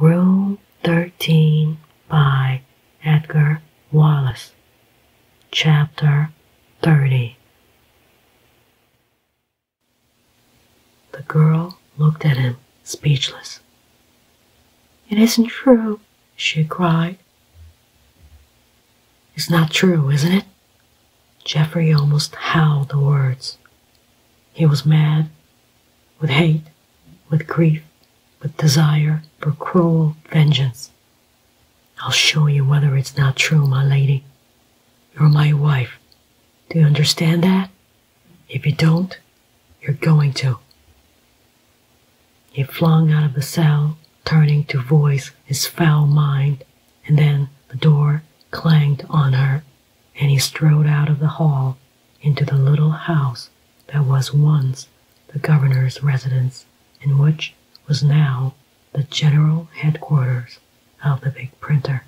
Room 13 by Edgar Wallace, Chapter 30. The girl looked at him, speechless. It isn't true, she cried. It's not true, isn't it? Jeffrey almost howled the words. He was mad with hate, with grief, with desire for cruel vengeance. I'll show you whether it's not true, my lady. You're my wife. Do you understand that? If you don't, you're going to. He flung out of the cell, turning to voice his foul mind, and then the door clanged on her and he strode out of the hall into the little house that was once the governor's residence in which was now the general headquarters of the big printer.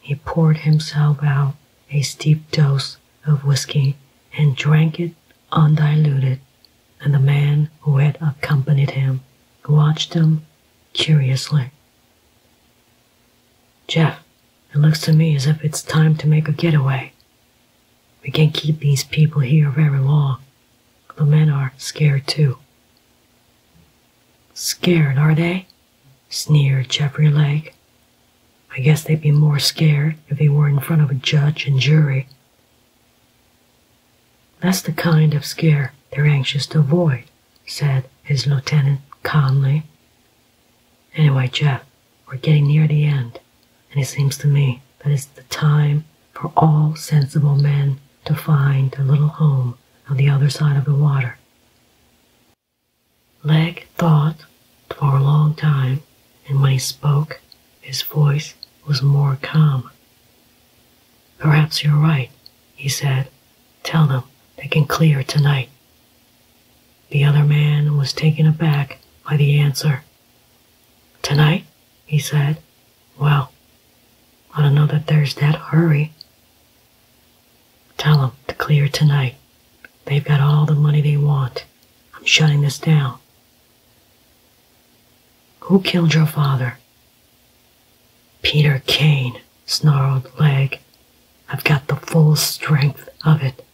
He poured himself out a steep dose of whiskey and drank it undiluted, and the man who had accompanied him watched him curiously. Jeff, it looks to me as if it's time to make a getaway. We can't keep these people here very long. The men are scared too. Scared, are they? sneered Jeffrey Legg. I guess they'd be more scared if they were in front of a judge and jury. That's the kind of scare they're anxious to avoid said his lieutenant calmly. Anyway, Jeff, we're getting near the end, and it seems to me that it's the time for all sensible men to find a little home on the other side of the water. Leg thought for a long time, and when he spoke, his voice was more calm. Perhaps you're right, he said. Tell them they can clear tonight. The other man was taken aback by the answer. Tonight, he said. Well, I don't know that there's that hurry. Tell them to clear tonight. They've got all the money they want. I'm shutting this down. Who killed your father? Peter Kane, snarled Leg. I've got the full strength of it.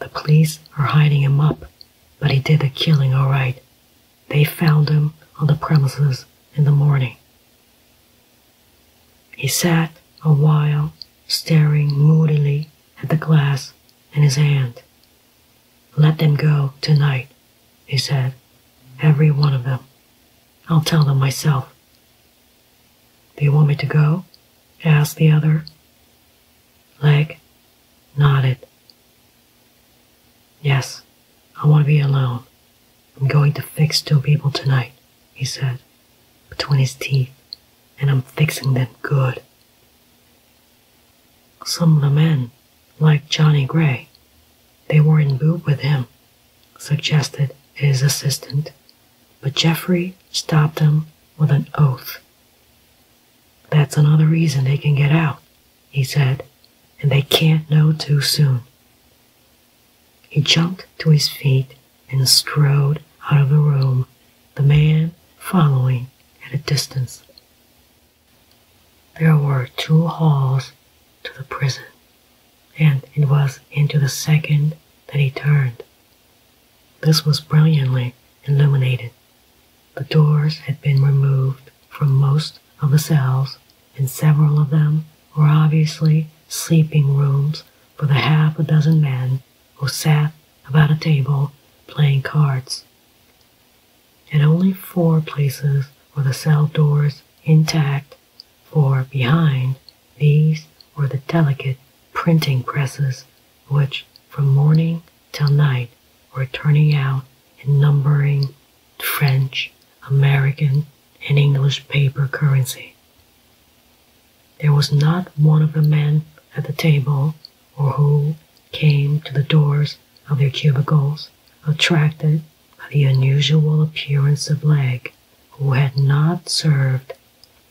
The police are hiding him up, but he did the killing all right. They found him on the premises in the morning. He sat a while, staring moodily at the glass in his hand. Let them go tonight, he said, every one of them. I'll tell them myself. Do you want me to go? asked the other. Leg nodded. Yes, I want to be alone. I'm going to fix two people tonight, he said, between his teeth, and I'm fixing them good. Some of the men, like Johnny Gray, they were in boot with him suggested his assistant, but Jeffrey stopped him with an oath. That's another reason they can get out, he said, and they can't know too soon. He jumped to his feet and strode out of the room, the man following at a distance. There were two halls to the prison and it was into the second that he turned. This was brilliantly illuminated. The doors had been removed from most of the cells, and several of them were obviously sleeping rooms for the half a dozen men who sat about a table playing cards and only four places were the cell doors intact, for behind these were the delicate printing presses, which from morning till night were turning out and numbering French, American, and English paper currency. There was not one of the men at the table or who came to the doors of their cubicles attracted of the unusual appearance of Legg, who had not served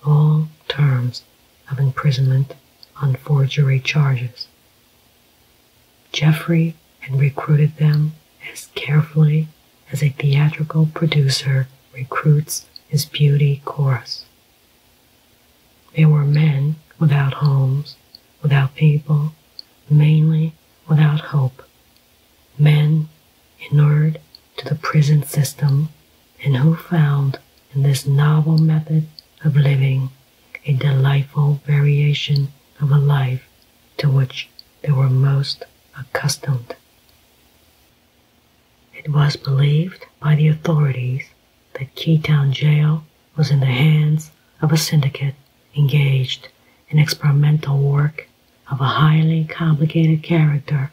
all terms of imprisonment on forgery charges. Jeffrey had recruited them as carefully as a theatrical producer recruits his beauty chorus. They were men without homes, without people, mainly without hope, men inured to the prison system, and who found in this novel method of living a delightful variation of a life to which they were most accustomed. It was believed by the authorities that Keytown Jail was in the hands of a syndicate engaged in experimental work of a highly complicated character,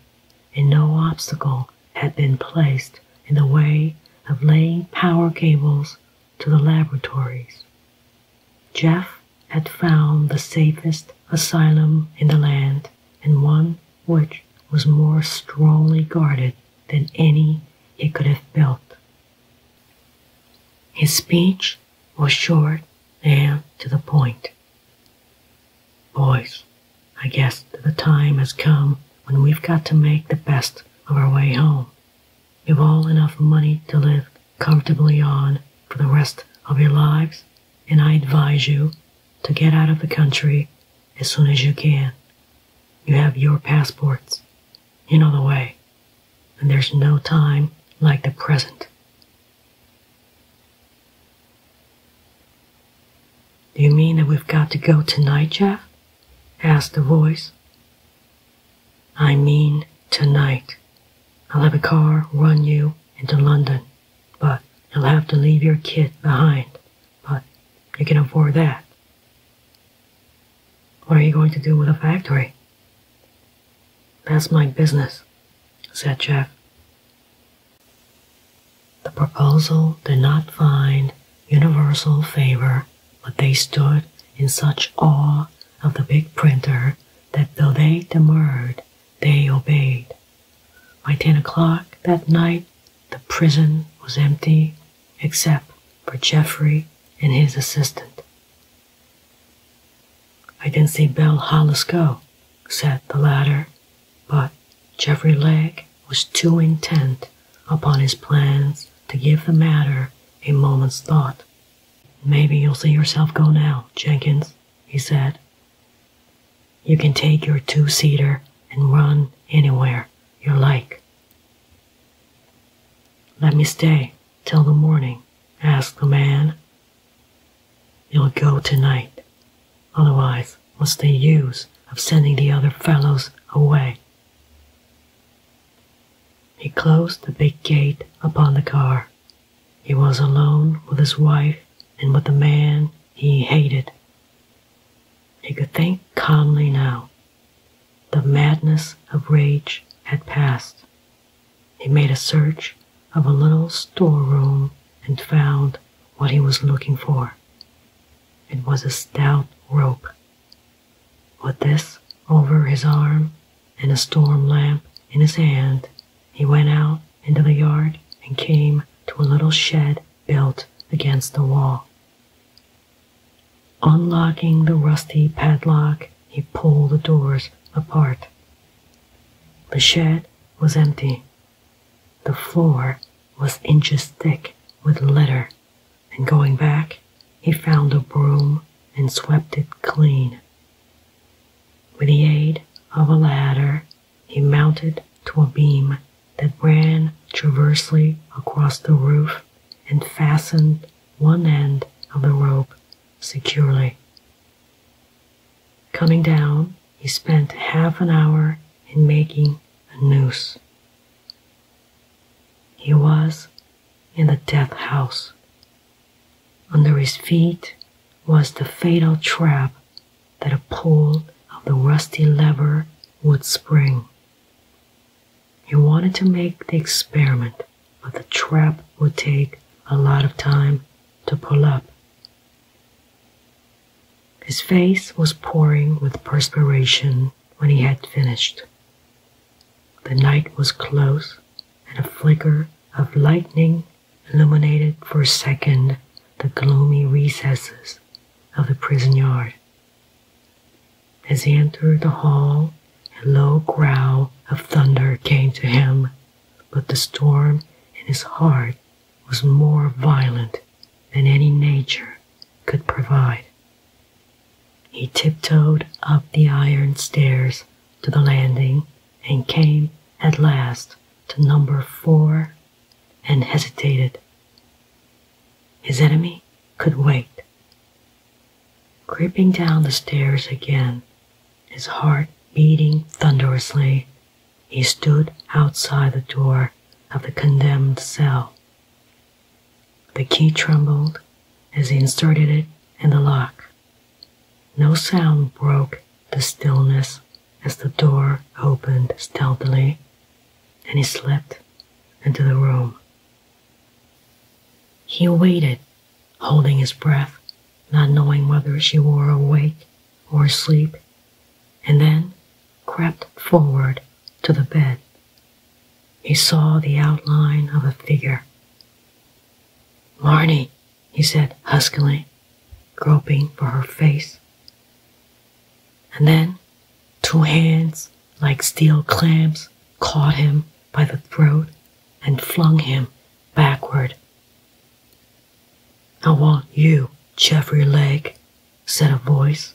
and no obstacle had been placed in the way of laying power cables to the laboratories. Jeff had found the safest asylum in the land and one which was more strongly guarded than any he could have built. His speech was short and to the point. Boys, I guess the time has come when we've got to make the best of our way home. You've all enough money to live comfortably on for the rest of your lives, and I advise you to get out of the country as soon as you can. You have your passports. You know the way and there's no time like the present. Do you mean that we've got to go tonight, Jeff? asked the voice. I mean tonight. I'll have a car run you into London, but you'll have to leave your kid behind. But you can afford that. What are you going to do with a factory? That's my business, said Jeff. The proposal did not find universal favor, but they stood in such awe of the big printer that though they demurred, they obeyed. By ten o'clock that night, the prison was empty except for Jeffrey and his assistant. I didn't see Bell Hollis go, said the latter, but Jeffrey Legg was too intent upon his plans to give the matter a moment's thought. Maybe you'll see yourself go now, Jenkins, he said. You can take your two seater and run anywhere you like. Let me stay till the morning, asked the man. You'll go tonight, otherwise, what's the use of sending the other fellows away? He closed the big gate upon the car. He was alone with his wife and with the man he hated. He could think calmly now the madness of rage had passed. He made a search of a little storeroom and found what he was looking for. It was a stout rope. With this over his arm and a storm lamp in his hand, he went out into the yard and came to a little shed built against the wall. Unlocking the rusty padlock, he pulled the doors apart. The shed was empty. The floor was inches thick with litter, and going back, he found a broom and swept it clean. With the aid of a ladder, he mounted to a beam that ran transversely across the roof and fastened one end of the rope securely. Coming down, he spent half an hour in making a noose. He was in the death house. Under his feet was the fatal trap that a pull of the rusty lever would spring. He wanted to make the experiment, but the trap would take a lot of time to pull up. His face was pouring with perspiration when he had finished. The night was close, and a flicker of lightning illuminated for a second the gloomy recesses of the prison yard. As he entered the hall, a low growl of thunder came to him, but the storm in his heart was more violent than any nature could provide. He tiptoed up the iron stairs to the landing and came at last to number 4 and hesitated. His enemy could wait. Creeping down the stairs again, his heart beating thunderously, he stood outside the door of the condemned cell. The key trembled as he inserted it in the lock. No sound broke the stillness as the door opened stealthily and he slipped into the room. He waited, holding his breath, not knowing whether she were awake or asleep, and then crept forward to the bed. He saw the outline of a figure. Marnie, he said huskily, groping for her face and then two hands like steel clamps caught him by the throat and flung him backward. I want you, Jeffrey Lake, said a voice.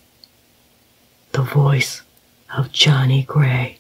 The voice of Johnny Gray.